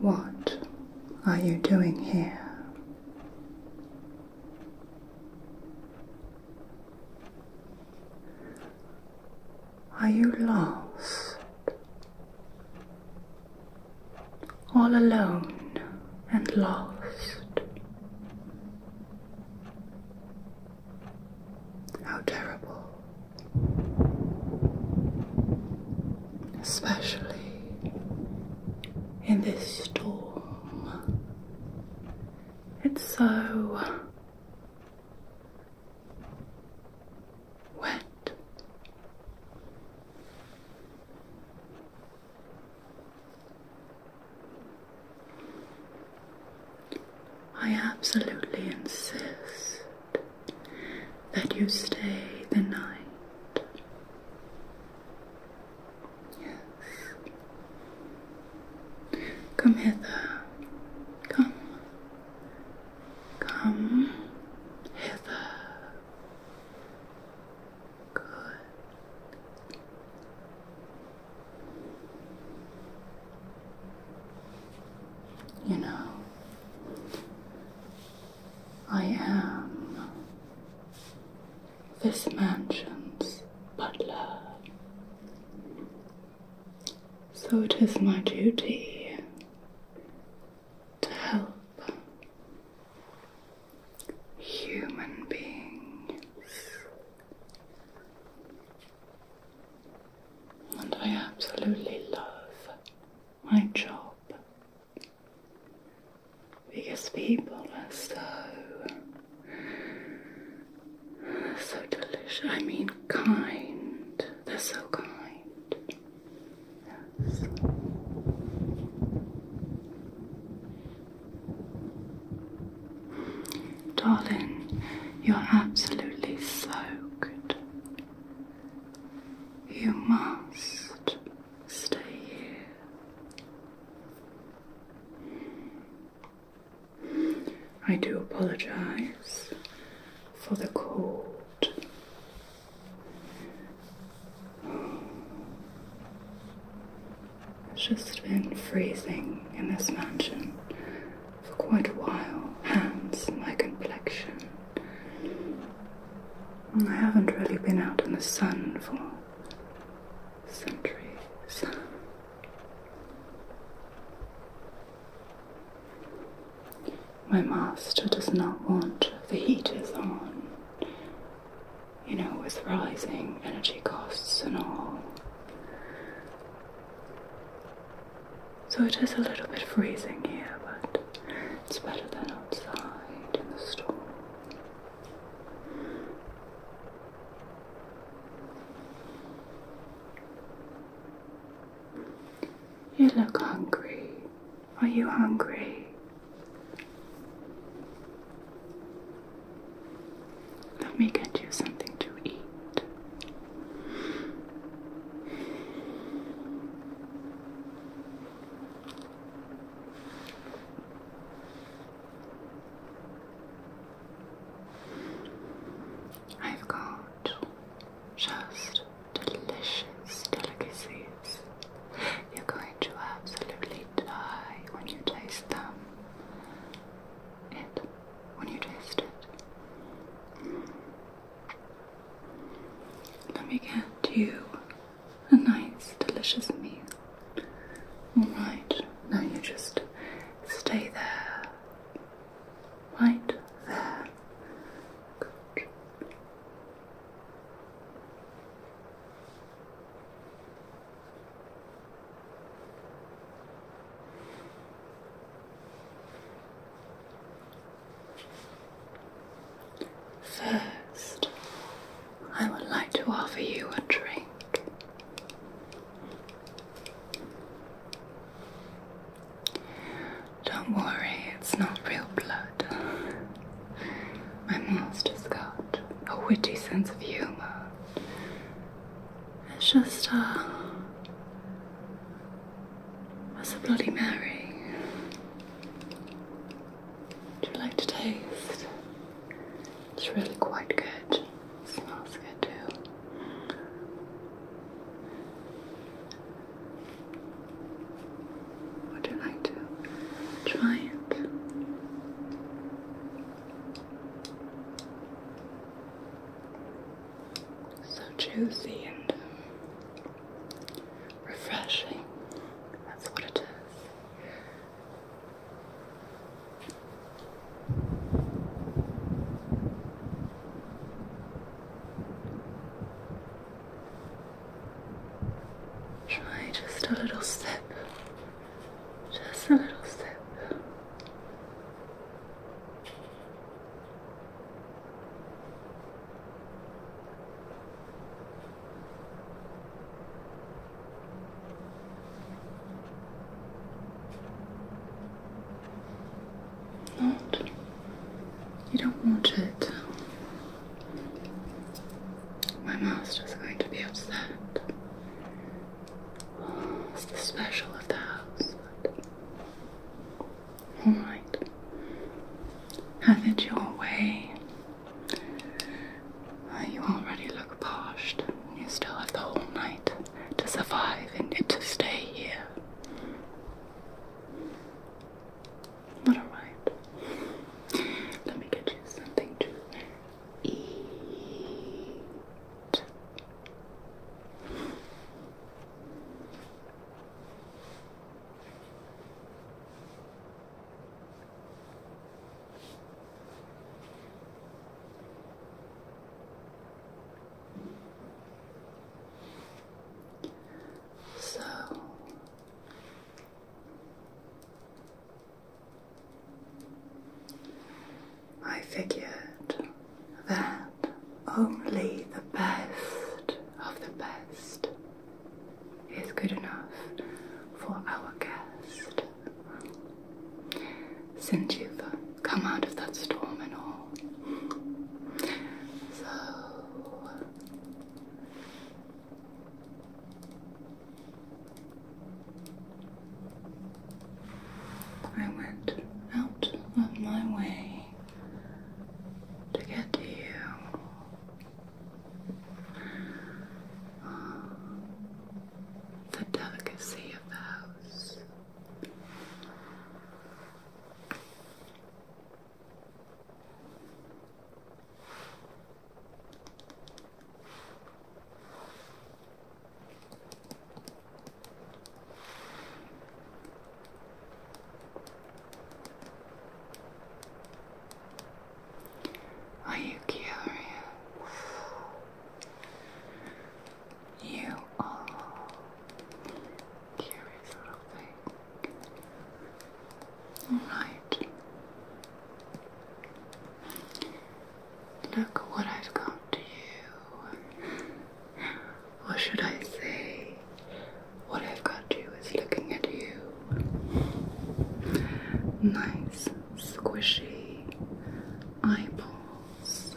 What are you doing here? Are you lost? All alone and lost. How terrible. Especially in this storm. It's so wet. I absolutely insist that you stay the night. Yes. Come hither. Come. Come hither. Good. You know, I am this mansion's butler. So it is my duty to help human beings. And I absolutely love my job because people are so so delicious. I mean, kind they're so kind. Darling, you're absolutely soaked. You must stay here. I do apologize for the cold. It's just been freezing in this mansion for quite a while, hence my complexion. I haven't really been out in the sun for centuries. My master does not want the heaters on, you know, with rising energy costs and all. So it is a little bit freezing here, but it's better than outside in the storm. You look hungry. Are you hungry? Let me get you something to eat. I've got just delicious delicacies. You're going to absolutely die when you taste them. It, when you taste it. Let me get you a nice, delicious meal. Alright, now you just stay there right there. Good. First, I would like to offer you a drink. Don't worry, it's not real blood. My master's got a witty sense of humor. It's just uh that's a bloody Mary. Do you like to taste? It's really quite good. smells good too. Would you like to try So juicy and refreshing. That's what it is. Try just a little sip, just a little sip. Not. You don't want it. My master's going to be upset. it's the special of the house. Alright. Have it your way. Uh, you already look poshed. You still have the whole night to survive and to stay here. But alright. Let me get you something to eat. So I figured that only the best of the best is good enough for our guest. Since you've come out of that storm and all. So I went out of my way to get to you. The delicacy of the house. Are you curious? You are Curious little thing. Alright. Look what I've got you. Or should I say, what I've got you is looking at you. Nice, squishy eyeballs.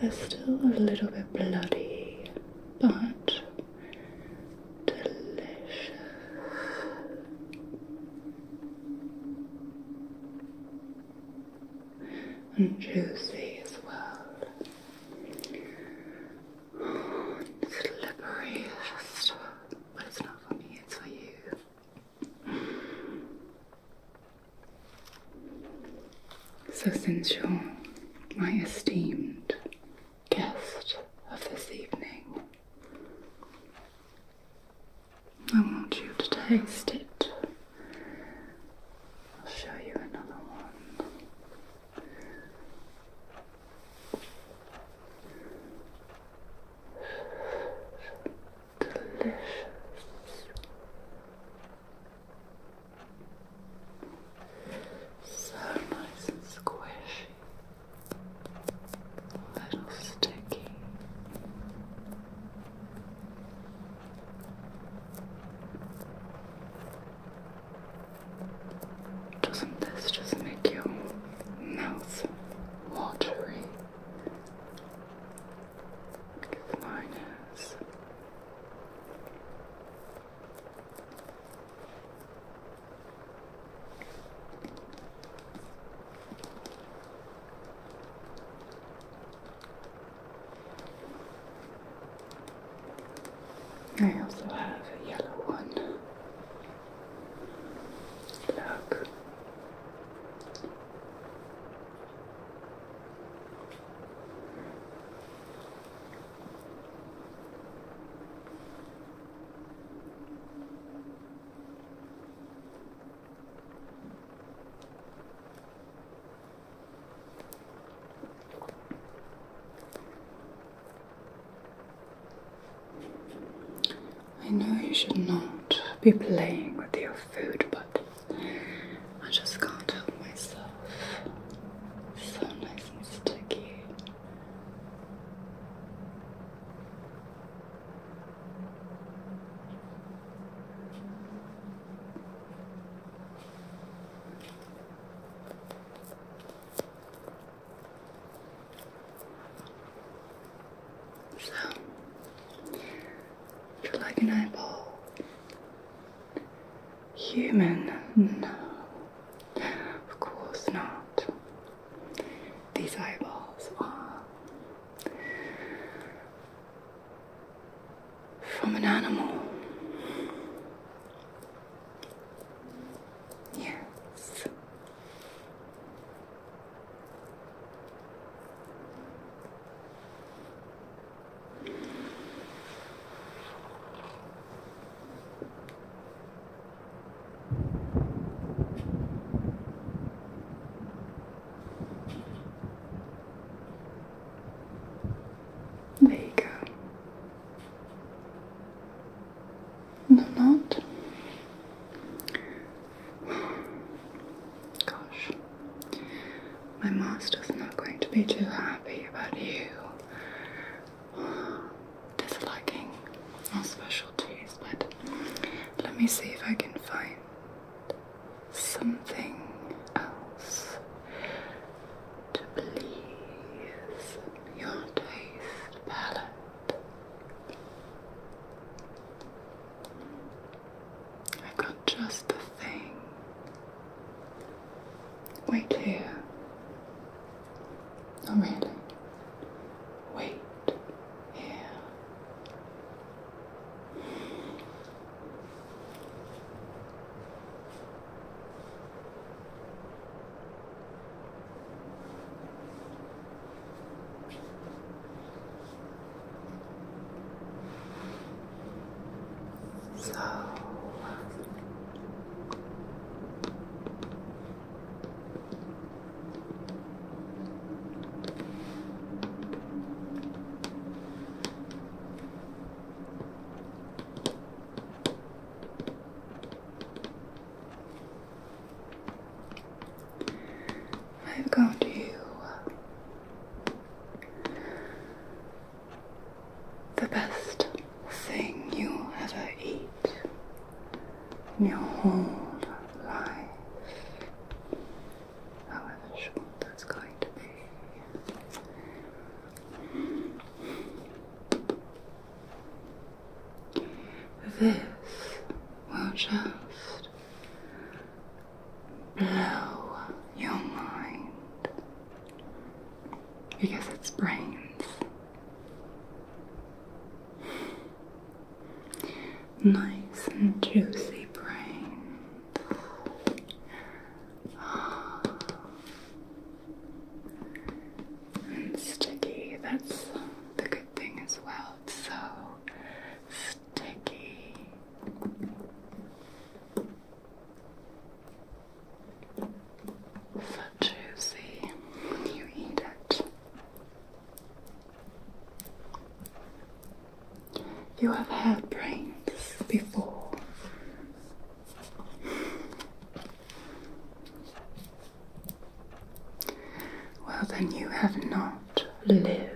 They're still a little bit bloody, but delicious. And juicy as well. slippery, just, but it's not for me, it's for you. So, since you're my esteemed guest of this evening, I want you to taste it. I'll show you another one. Delicious. So nice and squishy, a little sticky. Doesn't this just make your mouth watery? Because mine I also have a yellow one. Look. I know you should not be playing with your food, but I just can't help myself. So nice and sticky. So, if you like an eyeball, Human? No, of course not. These eyeballs are from an animal. Yes. There you go. No, not. Gosh, my master's not going to be too happy about you disliking our specialties, but let me see if I can find something else to please your taste palette. I've got just the Wait here. Not really. Wait here. So I'm going to the best thing you will ever eat in your whole life, however short that's going to be. This will just blow your mind because it's brains. Nice and juicy brains. And sticky, that's the good thing as well. It's so sticky juicy you eat it. You have had brains before. Well, then you have not lived.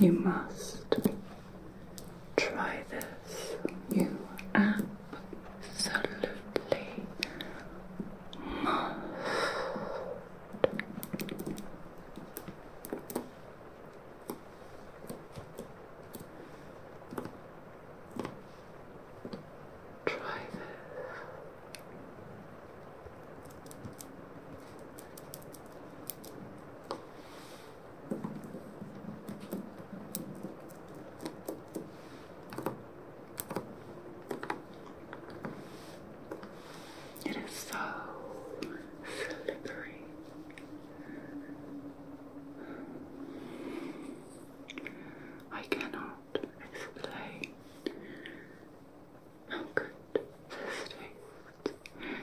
You must try this. You absolutely must. Try this. It is so slippery. I cannot explain how good this tastes.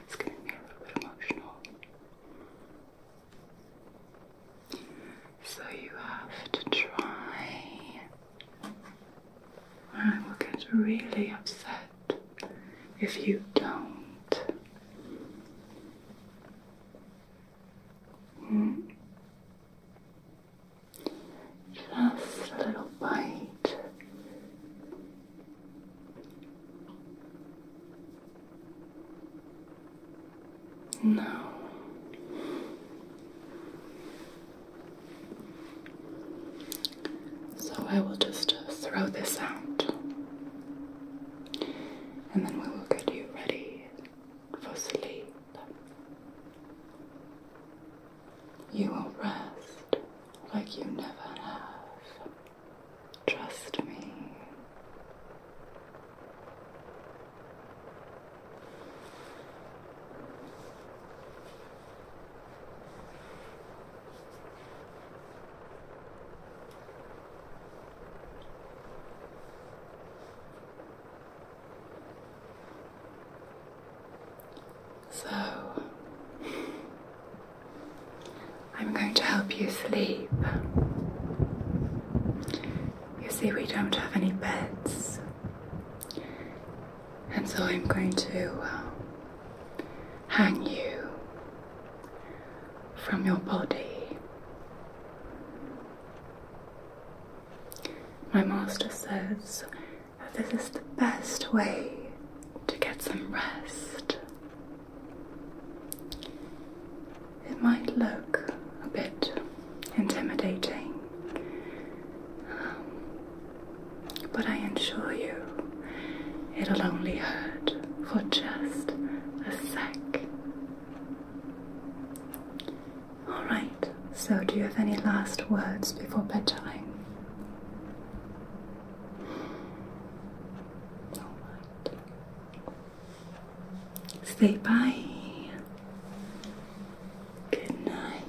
It's getting me a little bit emotional. So you have to try. I will get really upset if you don't. Just a little bite. No. So I will just uh, throw this out and then we will get you ready for sleep. You will rest like you never have. Trust me. So, I'm going to help you sleep. You see, we don't have any beds, and so I'm going to uh, hang you from your body my master says that this is the best way to get some rest. It might look a bit intimidating, but I assure you it'll only hurt for just a sec. All right, so do you have any last words before bedtime? All right. Say bye. Good night.